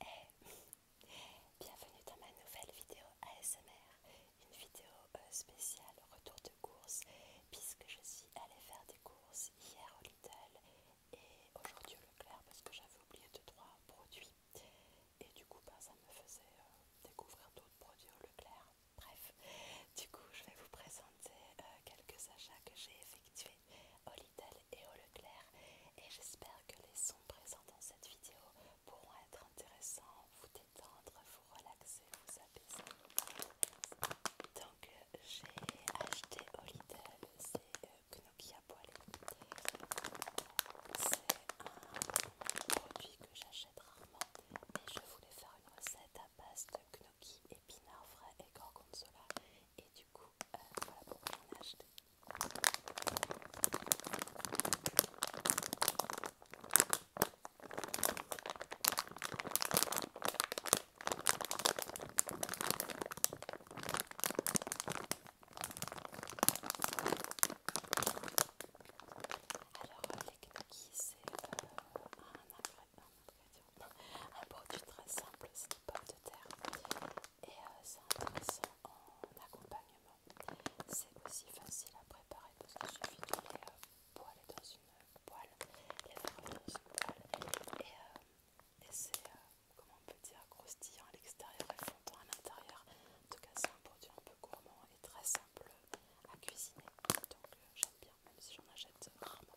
Eh, bienvenue dans ma nouvelle vidéo ASMR, une vidéo euh, spéciale retour de course puisque je suis allée faire des courses hier au Lidl et aujourd'hui au Leclerc parce que j'avais oublié de trois produits et du coup bah, ça me faisait euh, découvrir d'autres produits au Leclerc. Bref, du coup je vais vous présenter euh, quelques achats que j'ai effectués et au Leclerc et j'espère que les sons présents dans cette vidéo pourront être intéressants, vous détendre, vous relaxer, vous apaiser. Donc euh, j'ai acheté au Lidl, c'est gnocchis euh, à poêler. C'est un produit que j'achète rarement et je voulais faire une recette à base de gnocchi, épinards frais et gorgonzola. Et du coup, euh, voilà pourquoi j'en ai acheté. Alors c'est euh, un, un, un, un produit très simple, c'est pas de terre et euh, c'est intéressant en accompagnement. C'est aussi facile à préparer parce qu'il suffit de les euh, dans une euh, poêle, les faire dans une poêle et, c'est, comment on peut dire, croustillant à l'extérieur et fondant à l'intérieur. En tout cas, c'est un produit un peu gourmand et très simple à cuisiner. Donc j'aime bien, même si j'en achète rarement.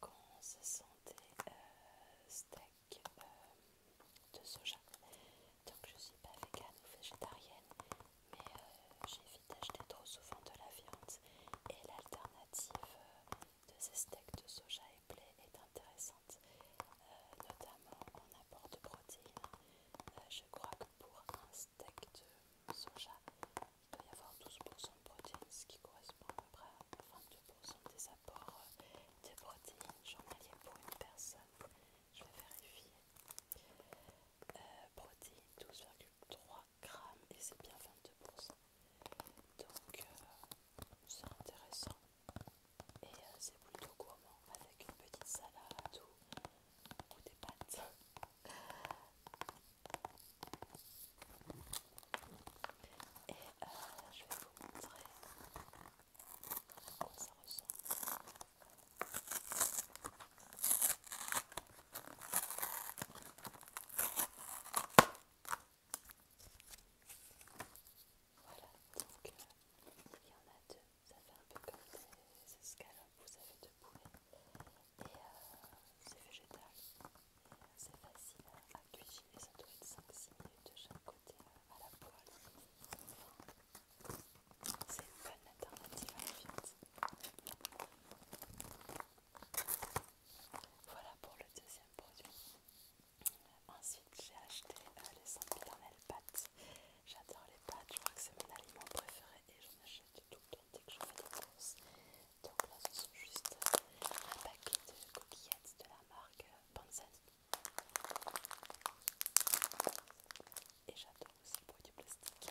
quand ce sont des steaks de soja. Donc je suis pas végane ou végétarienne, mais euh, j'évite d'acheter trop souvent de la viande et l'alternative euh, de ces steaks de soja et blé est intéressante, euh, notamment en apport de protéines. je crois que pour un steak de il peut y avoir 12% de protéines, ce qui correspond à peu près à 22% des apports euh, de protéines journaliers pour une personne. Je vais vérifier. Euh, protéines 12,3 grammes et c'est bien 22%. Donc euh, c'est intéressant et c'est plutôt gourmand avec une petite salade ou des pâtes. Et je vais vous montrer à quoi ça ressemble. Voilà, donc il y en a deux, ça fait un peu comme des escalopes, vous avez de poulet et euh, c'est végétal euh, c'est facile à cuisiner, ça doit être 5-6 minutes de chaque côté euh, à la poêle. C'est une bonne alternative à Voilà pour le deuxième produit. Ensuite, j'ai acheté les les sempiternelles pâtes. J'adore les pâtes, je crois que c'est mon aliment préféré et j'en achète tout le temps dès que je fais des courses. Donc là, ce sont juste un paquet de coquillettes de la marque Panzani Et j'adore aussi le du plastique.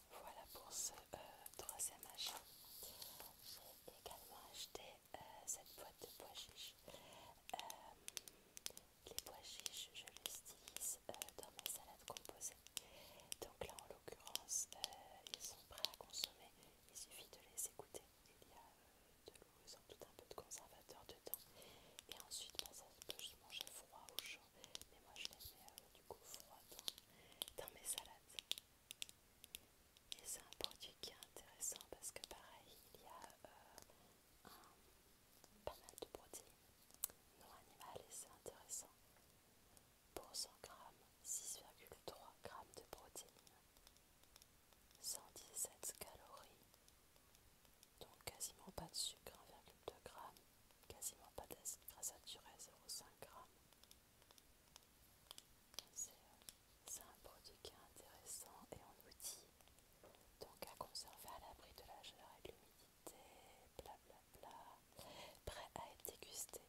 Voilà pour ce euh, troisième achat. J'ai également acheté euh, cette boîte de pois chiches. Euh, les pois chiches, je les utilise dans mes salades composées. Donc là, en l'occurrence, ils sont prêts à consommer. Il suffit de les écouter. Il y a de l'eau, ont tout un peu de conservateur dedans. Et ensuite, pour bah, ça peut se manger froid ou chaud. Mais moi je les mets euh, du coup froides dans mes salades. Et c'est un produit qui est intéressant parce que pareil, il y a euh, pas mal de protéines non animales et c'est intéressant. Pour 100 grammes, 6,3 grammes de protéines, 117 calories, donc quasiment pas de sucre, 1,2 grammes quasiment pas d'acide gras saturé 0,5 g. C'est un produit qui est intéressant et on nous dit donc à conserver à l'abri de la chaleur et de l'humidité, blablabla, prêt à être dégusté,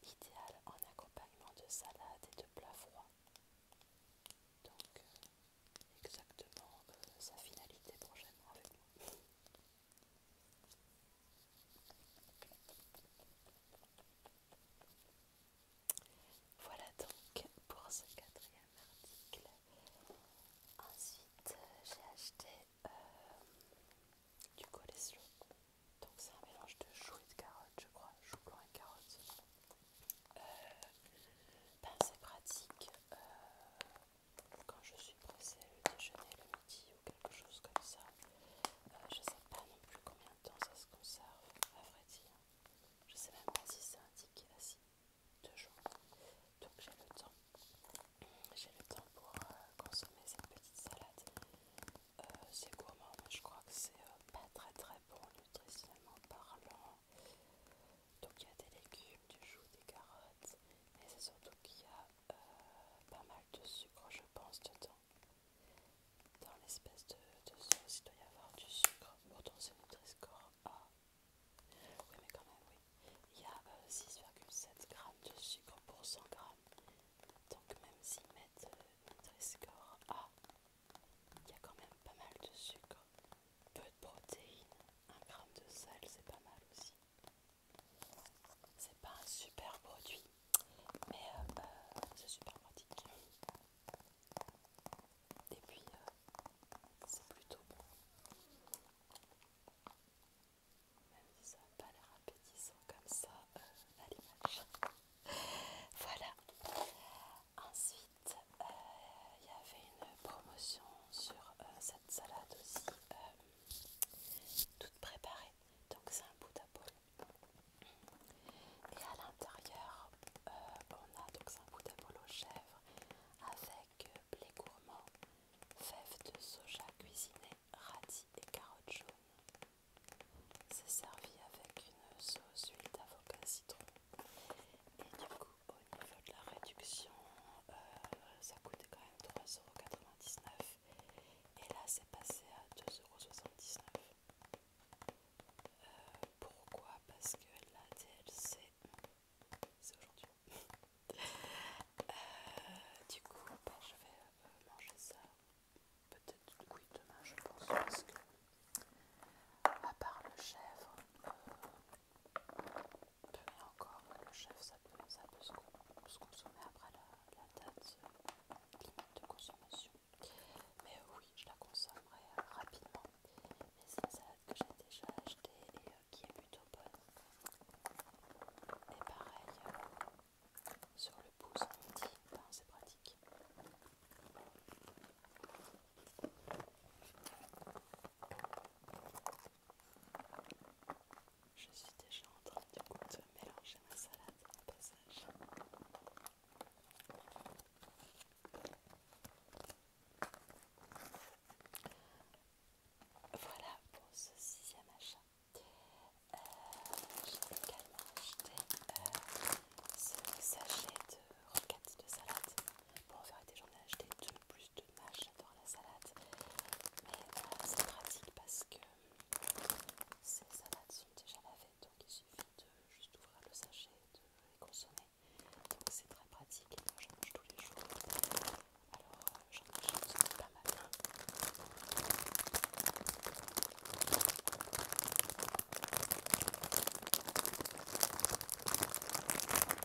idéal en accompagnement de salades et de plats froids. Donc euh, exactement euh, sa finalité prochainement avec nous. Voilà donc pour ce quatrième article. Ensuite, j'ai acheté euh, du colislo. Donc c'est un mélange de choux et de carottes, je crois. Choux blanc et carottes. Euh, ben, c'est pratique euh, quand je suis pressée le déjeuner, le midi ou quelque chose comme ça. Euh, je ne sais pas non plus combien de temps ça se conserve, à vrai dire. Je ne sais même pas si c'est indiqué deux jours. Donc j'ai le temps. J'ai le temps pour euh, consommer cette petite salade. Euh, c'est gourmand, mais je crois que c'est pas très très bon nutritionnellement parlant. Donc il y a des légumes, du jus, des carottes, mais c'est surtout qu'il y a pas mal de sucre, je pense, dedans. Dans l'espèce de, sauce, il doit y avoir du sucre. Pourtant, c'est Nutri-Score A. Oui, mais quand même, oui. Il y a 6,7 euh, g de sucre pour 100 g. Donc, même s'ils mettent Nutri-Score euh, A, il y a quand même pas mal de sucre. Peu de protéines. 1 g de sel, c'est pas mal aussi. C'est pas un super produit, mais euh, euh, c'est super pratique. Et puis euh, c'est plutôt bon. Même si ça n'a pas l'air appétissant comme ça à l'image. voilà. Ensuite, il y avait une promotion sur cette salade aussi. Toutes préparées, Donc c'est un bout bol Et à l'intérieur, euh, on a donc un bout bol aux chèvre avec euh, blé gourmand, fèves de soja cuisinées, radis et carottes jaunes. C'est servi avec une sauce huile d'avocat citron. Et du coup, au niveau de la réduction, euh, ça coûte quand 3,99€ et là c'est passé à 2,79€. Euh, pourquoi Parce que la DLC, c'est aujourd'hui. Euh, du coup, bah, je vais euh, manger ça. Peut-être coup demain, je pense. Parce que, à part le chèvre, encore le chef ça peut, ça peut se, consommer après la, date euh, limite de consommation. Mais euh, oui, je la consommerai euh, rapidement. Mais c'est une salade que j'ai déjà achetée et qui est plutôt bonne. Et pareil, sur le pouce dit ben, c'est pratique. Je suis déjà en train de mélanger ma salade au passage. Voilà pour ce sixième achat. Euh, J'ai également acheté euh, ce sachet de roquettes de salade. Bon, en vérité, j'en ai acheté deux plus deux j'adore la salade, mais euh, c'est pratique parce que ces salades sont déjà lavées, donc il suffit de juste ouvrir le sachet et de les consommer. Donc c'est très pratique, et moi je mange tous les jours. Alors euh, j'en achète pas mal.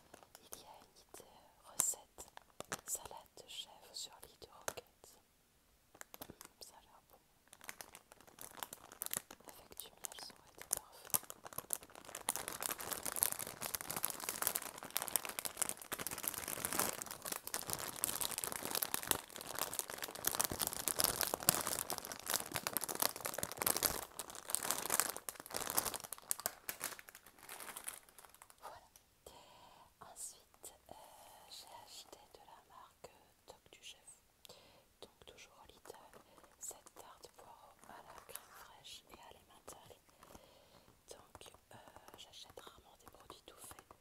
Il y a une idée recette salade de chèvre sur lit de roquette. Mmh, ça a l'air bon. Avec du miel, ça aurait été parfait. Ensuite, euh, j'ai acheté de la marque Toc du Chef. Donc toujours au Lidl, cette tarte poireau à la crème fraîche et à l'emmental. Donc euh, j'achète rarement des produits tout faits.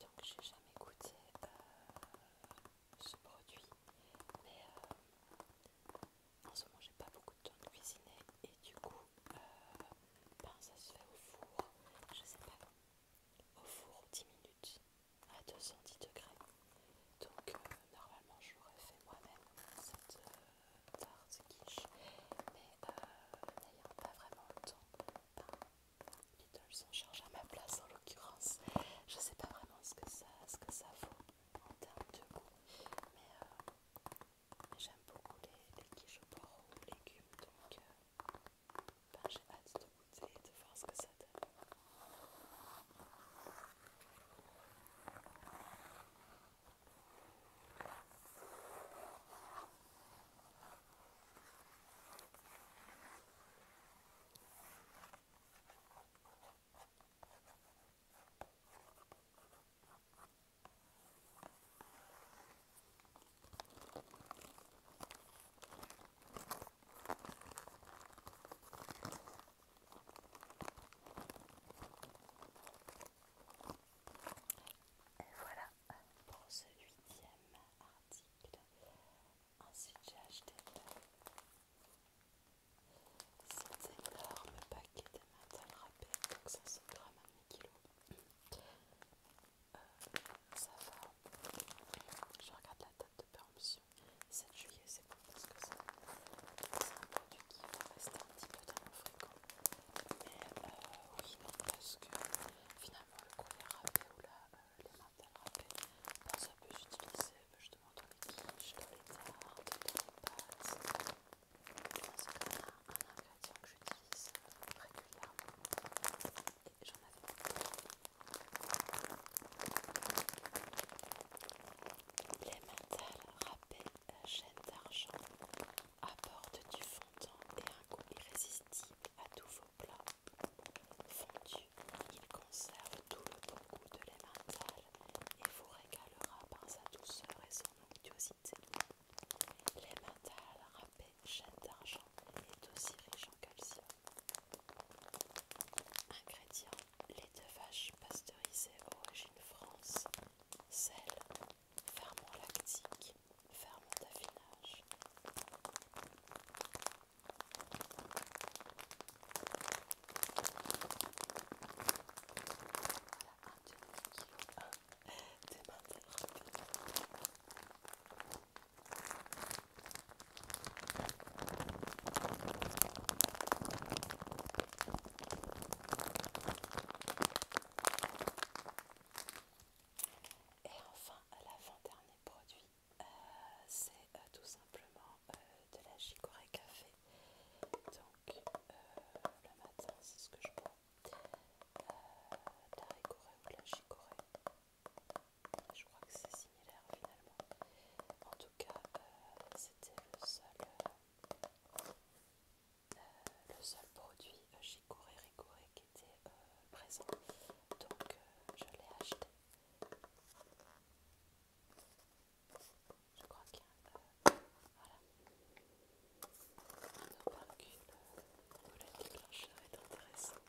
Donc j'ai jamais goûté euh, ce produit. Mais en ce moment j'ai pas beaucoup de temps de cuisiner et du coup euh, ben, ça se fait au four, je sais pas, au four 10 minutes à 210 degrés. Donc euh, normalement j'aurais fait moi-même cette euh, tarte quiche, mais n'ayant pas vraiment le temps, ben, les Lidl s'en charge à ma place en l'occurrence. Je sais pas vraiment ce que ça, que ça vaut en termes de goût, mais J'aime beaucoup les, quiches au aux légumes, donc euh, ben, j'ai hâte de goûter et de voir ce que ça donne. Voilà pour ce huitième article. Ensuite j'ai acheté c'est énorme paquet de mental râpé, donc 500 grammes à 1000 kg. Euh, ça va. Je regarde la date de péremption. 7 juillet, c'est bon parce que c'est un produit qui va rester un petit peu dans mon frigo. Mais euh, oui, non, parce que finalement, le collier râpé ou le euh, les mentales râpés ben, ça peut s'utiliser ben, justement dans les quiches, dans les tartes, dans les pâtes parce que a un ingrédient que j'utilise régulièrement et j'en avais beaucoup. L'emmental rappelle à chaîne d'argent apporte du fondant et un goût irrésistible à tous vos plats. Fondus, il conserve tout le bon goût de l'emmental il vous régalera par sa douceur et son onctuosité. L'hématale râpée, chaîne d'argent, est aussi riche en calcium. Ingrédients lait de vache pasteurisé origine France, sel, ferment lactique, ferment d'affinage. Et enfin, l'avant-dernier produit, euh, c'est euh, tout simplement... Euh, de la chicorée café. Donc euh, le matin, c'est ce que je bois. Euh, la ricorée ou la chicorée. Je crois que c'est similaire finalement. En tout cas, c'était le seul. le seul produit chicorée ricorée qui était présent donc je l'ai acheté je crois qu'il y a un. Euh, voilà. On en parle Le déclencheur est intéressant.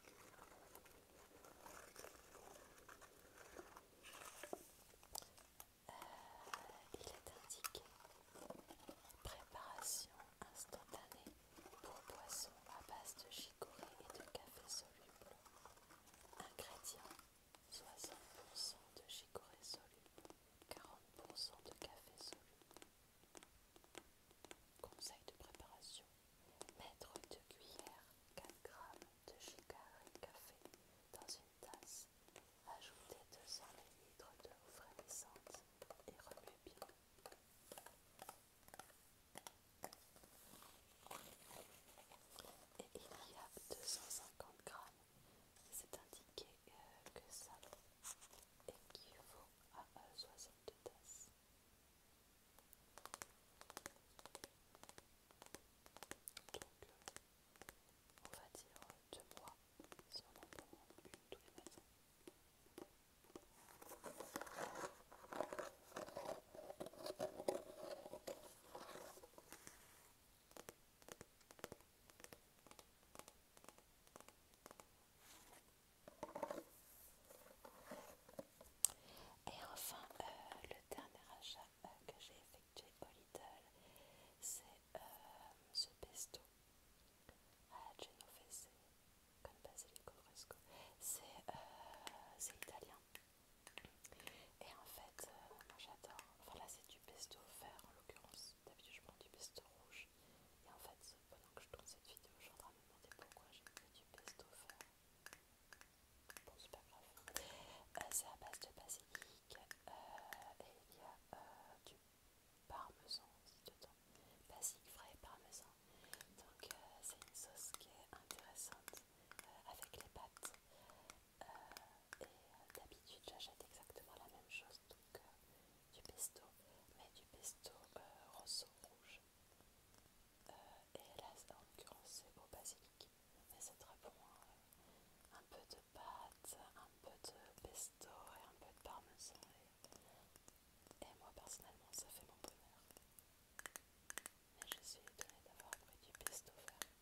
Euh, il est indiqué préparation instantanée pour poisson à base de chicorée et de café soluble. Ingrédients 60% de chicorée soluble, 40% de café soluble. Conseil de préparation mettre 2 cuillères 4 g de chicorée café dans une tasse, ajouter 200 ml d'eau frémissante et remuer bien. Et il y a 250 g c'est indiqué euh, que ça équivaut à euh, soixante 62 tasses. Donc, euh, on va dire deux mois sur on en une tous les matins. Et enfin, euh, le dernier achat euh, que j'ai effectué au Lidl, c'est euh, ce pesto à la Genovese con basilico C'est italien. Et en fait, j'adore. Enfin là, c'est du pesto vert en l'occurrence. D'habitude, je prends du pesto rouge. Et en fait, pendant que je tourne cette vidéo, je suis me demander pourquoi j'ai mis du pesto vert. Bon, c'est pas grave. Euh, c'est à base de basilic euh, et il y a euh, du parmesan aussi dedans. Basilic frais parmesan. Donc, c'est une sauce qui est intéressante avec les pâtes et euh, d'habitude j'achète exactement la même chose, donc euh, du pesto, mais du pesto euh, roseau rouge. et là, en l'occurrence, c'est au basilic, mais c'est très bon. Un peu de pâte, un peu de pesto et un peu de parmesan. Et, moi, personnellement, ça fait mon bonheur. Mais je suis étonnée d'avoir pris du pesto vert.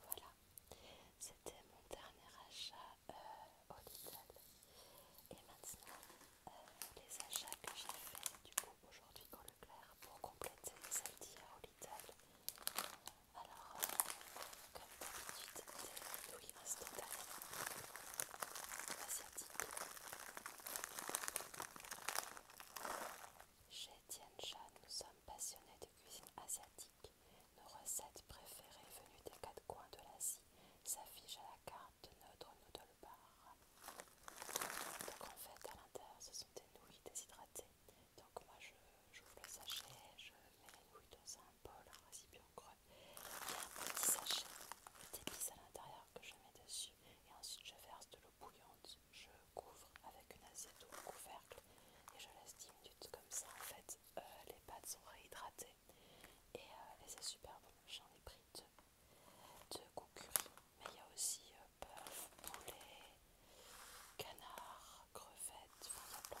Voilà, c'était mon dernier achat euh, au Lidl. Et maintenant, euh, les achats que j'ai fait du coup aujourd'hui le Leclerc pour compléter mes d'hier au Lidl. Alors, euh, comme d'habitude, des nouilles instantanées asiatiques. Chez Tianjia, nous sommes passionnés de cuisine asiatique. Nos recettes préférées venues des quatre coins de l'Asie s'affichent à la carte de notre noodle bar. Donc en fait, à l'intérieur, ce sont des nouilles déshydratées. Donc moi, je j'ouvre le sachet, je mets les nouilles dans un bol, un récipient creux. Il un petit sachet d'épices à l'intérieur que je mets dessus et ensuite je verse de l'eau bouillante je couvre avec une assiette ou un couvercle et je laisse 10 minutes comme ça en fait euh, les pâtes sont réhydratées euh, et, c'est super bon j'en ai pris deux de curry mais il y a aussi euh, bœuf, poulet, canard, crevette, enfin il y a plein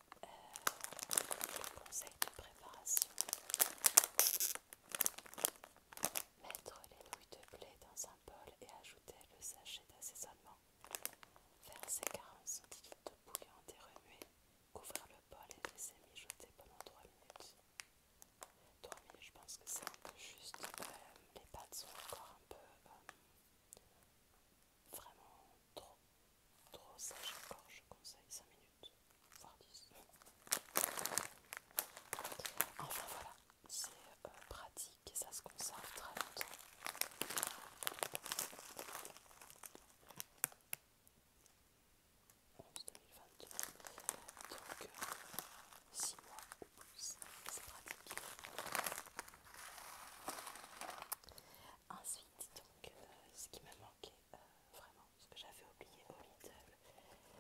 le euh, conseil de préparation. Mettre les nouilles de blé dans un bol et ajouter le sachet d'assaisonnement. Verser 40 cm de bouillon et remuer. Couvrir le bol et laisser mijoter pendant 3 minutes. 3 je pense que c'est un peu juste. mes euh, les pâtes sont encore un peu... Euh, vraiment trop Trop sage encore, je conseille 5 minutes, voire 10. Enfin voilà, c'est euh, pratique et ça se conserve très longtemps. Donc 6 euh, mois plus, c'est pratique. Ensuite, donc, euh, ce qui m'a manqué euh, vraiment, ce que j'avais oublié au middle,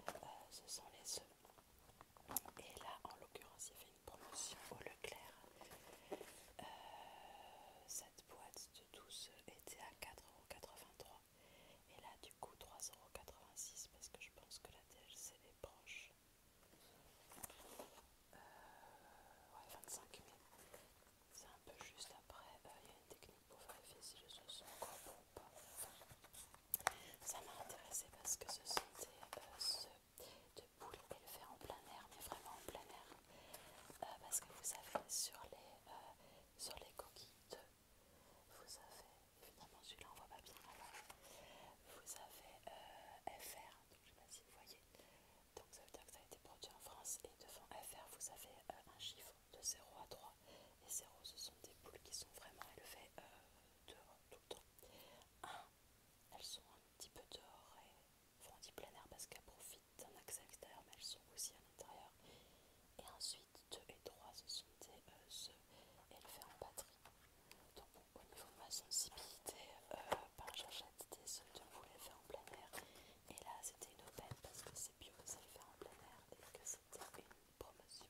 euh, ce sont les œufs. Et là, en l'occurrence, il y avait une promotion au Leclerc. cette boîte de 12 était à 4,83€. Et là, du coup, 3,86€ parce que je pense que la DLC est proche. Euh, ouais, 25 000. C'est un peu juste après, euh, il y a une technique pour vérifier si je sens encore ou pas. Ça m'a intéressé parce que ce sont euh, des poules boules, le le en plein air, mais vraiment en plein air. Euh, parce que vous avez sur les, sur les coquilles vous avez, évidemment celui-là on voit pas bien, vous avez FR, donc je sais pas si vous voyez, donc ça veut dire que ça a été produit en France et devant FR vous avez euh, un chiffre de 0 à 3 et 0 ce sont des boules qui sont vraiment élevées euh, dehors tout temps. 1 elles sont un petit peu dehors et font du plein air parce qu'elles profitent d'un accès extérieur mais elles sont aussi à l'intérieur. Et ensuite 2 et 3 ce sont des euh, œufs élevés en batterie. Donc au niveau de ma sensibilité, par j'achète des œufs vous voulais faire en plein air. Et là, c'était une aubaine parce que c'est bio, c'est fait en plein air et que c'était une promotion.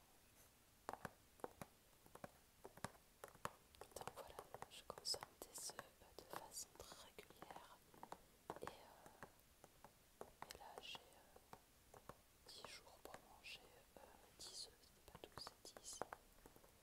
Donc voilà, je consomme des œufs de façon très régulière. Euh, et, là, j'ai 10 euh, jours pour manger 10 euh, œufs, c'est pas 12, c'est 10.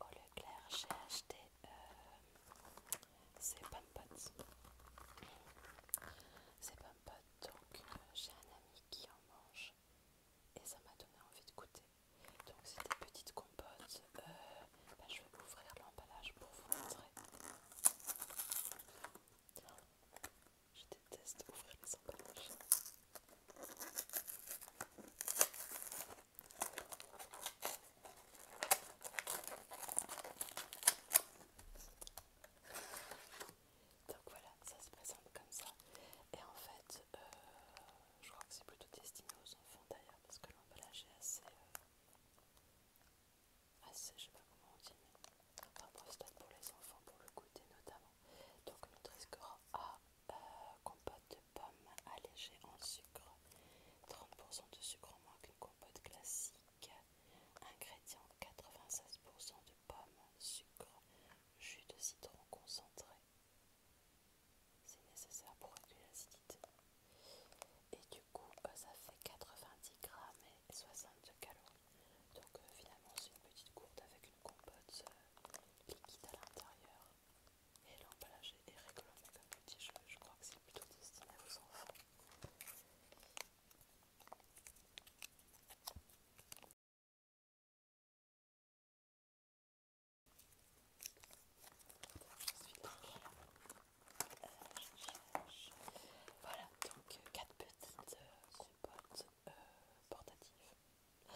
au Leclerc j'ai acheté euh, ces pompotes ces donc euh, j'ai un ami qui en mange et ça m'a donné envie de goûter donc c'est des petites compotes euh, ben, je vais ouvrir l'emballage pour vous montrer je déteste ouvrir les emballages donc voilà, ça se présente comme ça. Et en fait, euh, je crois que c'est plutôt destiné aux enfants d'ailleurs, parce que l'emballage est assez... Euh, assez, je sais pas comment on dit, mais... après pour les enfants, pour le côté notamment. Donc notre score A, euh, compote de pommes allégée en sucre, 30% de sucre en moins qu'une compote classique, ingrédients 96% de pommes, sucre, jus de citron concentré. C'est nécessaire pour réduire l'acidité. Et du coup, euh, ça fait 90 grammes et 60 calories. Donc euh, finalement, c'est une petite gourde avec une compote liquide à l'intérieur et l'emballage est avec comme petit jeu, je crois que c'est plutôt destiné aux enfants. Voilà, donc euh, quatre petites supports euh, portatifs. Euh, portatives.